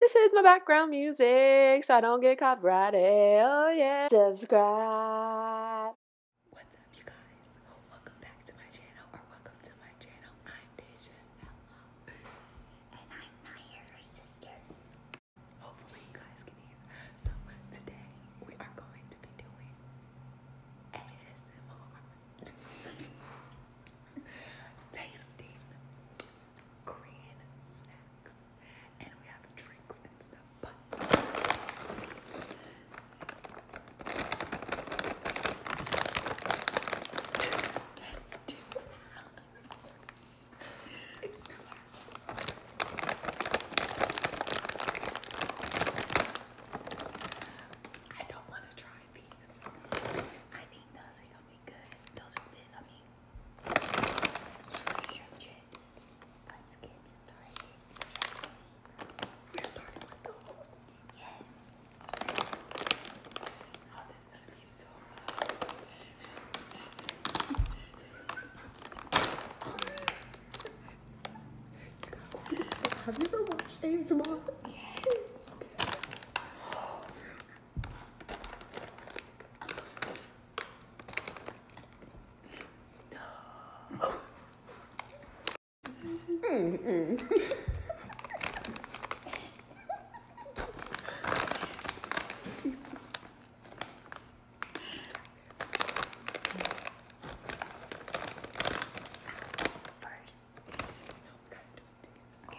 This is my background music, so I don't get copyrighted. Oh yeah, subscribe. What's up, you guys? Welcome back to my channel, or welcome to my channel. I'm Deja, and I'm Naya, sister. Hopefully, you guys can hear. So today we are going to be doing ASMR tasting Korean snacks, and we have drinks and stuff. But that's too loud. It's too loud. I don't want to try these. I think those are good. Those are good. I mean, Let's get started. You're starting with those? Yes. Oh, this is gonna be so rough. Have you ever watched ASMR? Yes. No. mm -mm. First, no, kind of. Okay.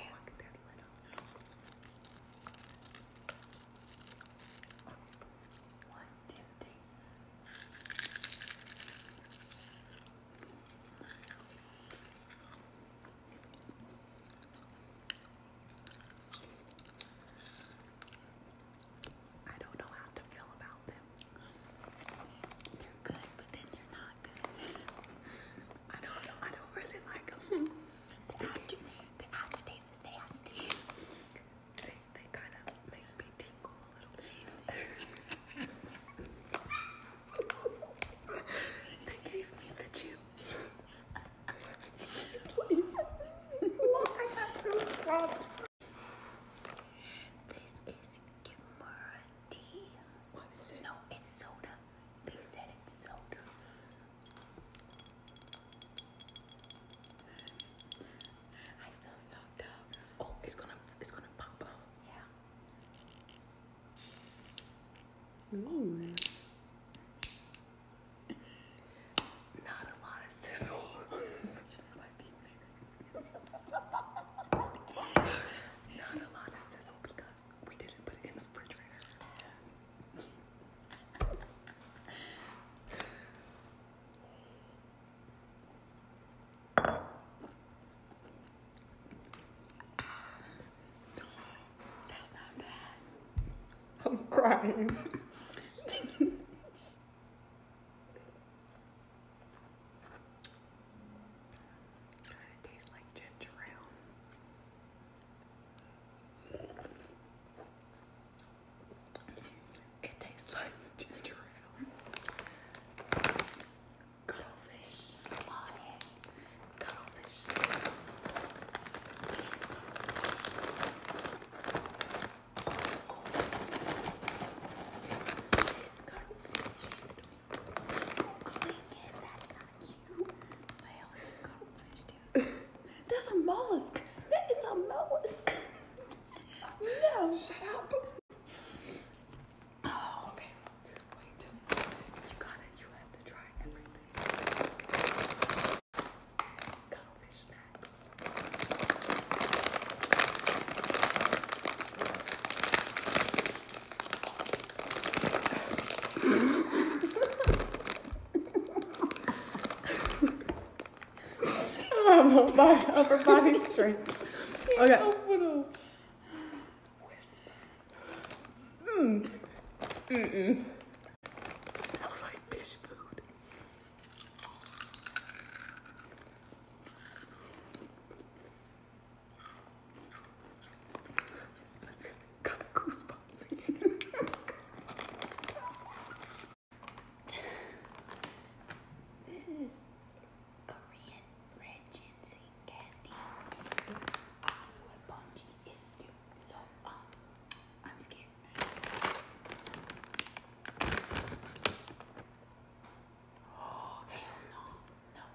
Oh, One, two, three. I don't know how to feel about them. They're good, but then they're not good. I don't know. I don't really like them. The, after, the aftertaste is nasty. They, they kind of make me tingle a little bit. they gave me the juice. Look, I got those props. This is, this is Kimura tea. What is it? No, it's soda. They said it's so I feel so dumb. Oh, it's gonna, it's gonna pop up. Yeah. Ooh. Not a lot of sizzle. Not a lot of sizzle because we didn't put it in the refrigerator. That's not bad. I'm crying. Kind of tastes like ginger ale. It tastes like ginger ale. Cuttlefish lions. Cuttlefish sticks. This That's a mollusk. That is a mollusk. no. Shut up. Oh, okay. Wait till you got it. You have to try everything. Cuttlefish snacks. Upper body, upper body strength. Okay. Mm. Mm -mm. It smells like fish food. Got goosebumps again. this is Korean red ginseng candy. I don't know what bungee is, So, um, I'm scared. Oh, no. No,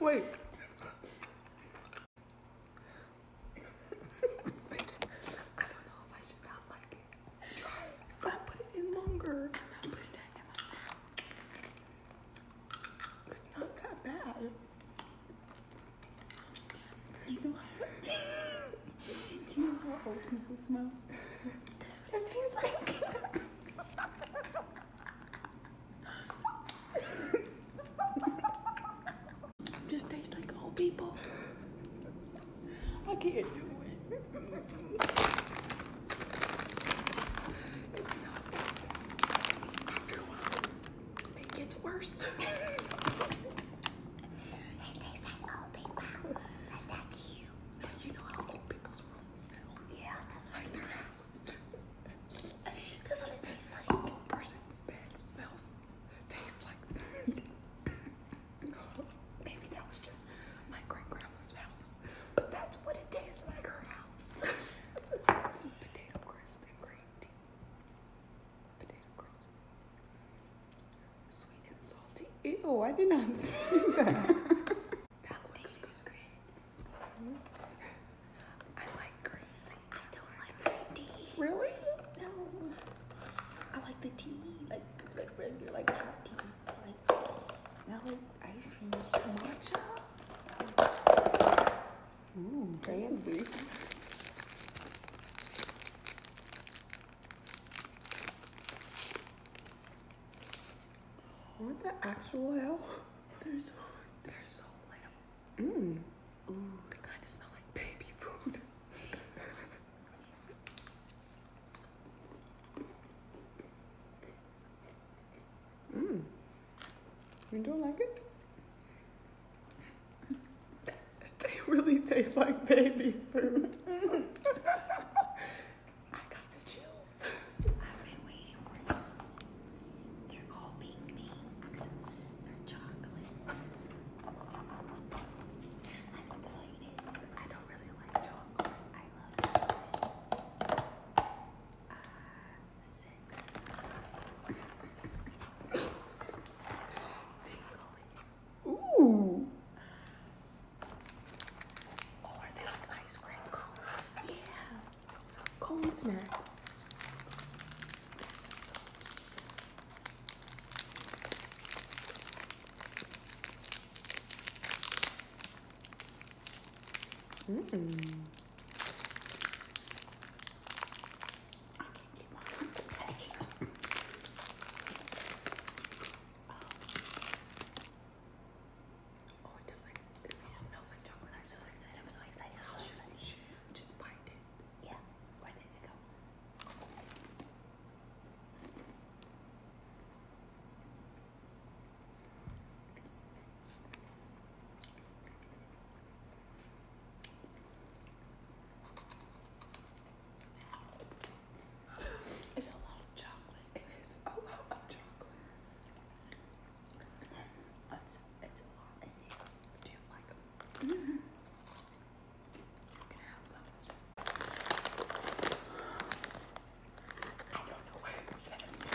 Wait. I don't know if I should not like it. Try I put it in longer. It's not that bad. You know how you know how old people smell? That's what it tastes like. Just tastes like old people. I can't do it. It's not after a while. It gets worse. It tastes like old people. That's that cute. Now you know how old people's rooms smell. Yeah, that's what it that's what it tastes like. old person's bed smells, tastes like Maybe that was just my great grandma's house, but that's what it tastes like her house. Potato crisp and green Sweet and salty. Ew, I did not see that. that looks good. Grits. Mm -hmm. I like green tea. I don't like green tea. Really? No. I like the tea. Like like regular like hot tea. Like now like ice cream is Ooh, fancy. What the actual hell? They're so, they're so Mmm. Ooh, they kind of smell like baby food. Mmm. you don't like it? They really taste like baby food. I got the chills. I've been waiting for these. They're called Bing Bings. They're chocolate. I'm excited. I don't really like chocolate. I love uh, six. Tingly. Ooh. Oh, are they ice cream cones? Yeah. Cone snack. Yes. Mmm oh, it does like, I it smells like chocolate. I'm so excited. I'm so excited. i will so excited. Just, just bite it. Yeah. Where did it go? It's a lot of chocolate. It is a lot of chocolate. It's, it's a lot Do you like them. Mm-hmm. I don't know what it says.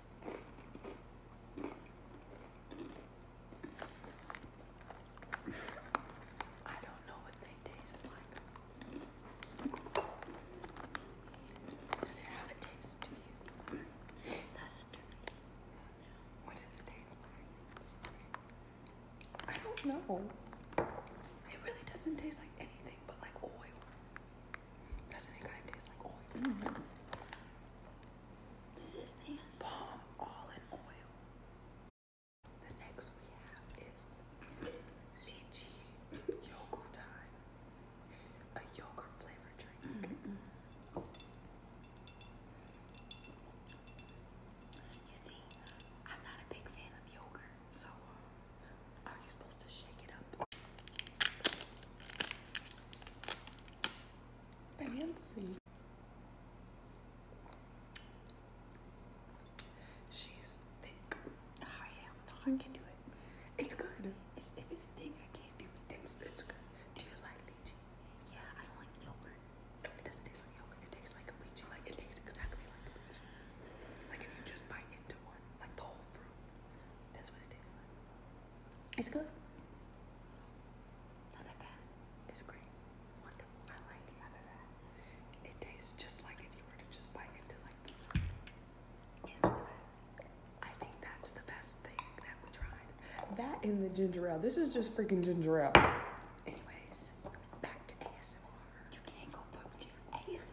I don't know what they taste like. Does it have a taste to you? That's dirty. What does it taste like? I don't know. It really doesn't taste like anything but like oil. Doesn't it kind of taste like oil? Mm-hmm. This is nasty. Palm all in oil. The next we have is lychee yogurt time. A yogurt flavor drink. Mm-hmm. You see, I'm not a big fan of yogurt, so um, are you supposed to shake it up? Fancy. She's thick. Oh, yeah, I can do it. It's good. if it's thick, I can't do it. it's good. Do you like lychee? Yeah, I don't like yogurt. No, it doesn't taste like yogurt. It tastes like lychee. Like it tastes exactly like lychee. Like if you just bite into one, like the whole fruit. That's what it tastes like. It's good. Not that bad. It's great. Wonderful. I like it. It tastes just like if you were to just bite into like. I think that's the best thing that we tried. That and the ginger ale. This is just freaking ginger ale. Anyways, back to ASMR. You can't go from to ASMR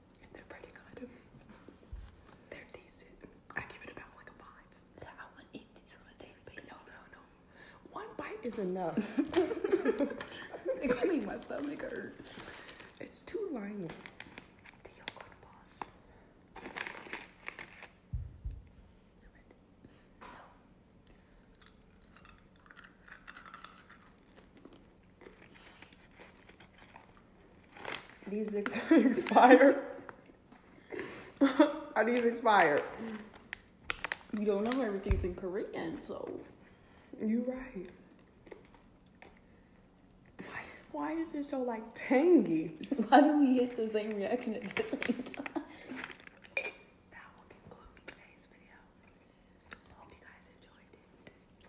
They're pretty good. They're decent. I give it about like a five. I wouldn't eat these on a daily basis. No, no, One bite is enough. it's making my stomach hurt. It's too limy. boss. These ex- expire. Are these expired? You don't know everything's in Korean, so you are right. Why, is it so like tangy? Why do we get the same reaction at the same time? Hope you guys enjoyed it.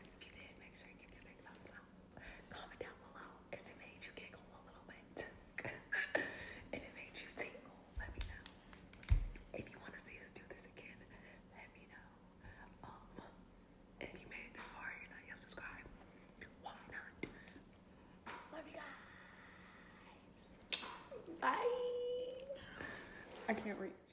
If you did, make sure you give me big thumbs up. Comment down below if it made you giggle a little bit. if it made you tingle, let me know. If you want to see us do this again, let me know. Um, if you made it this far, you're not yet subscribed. Why not? Love you guys. Bye. I can't reach.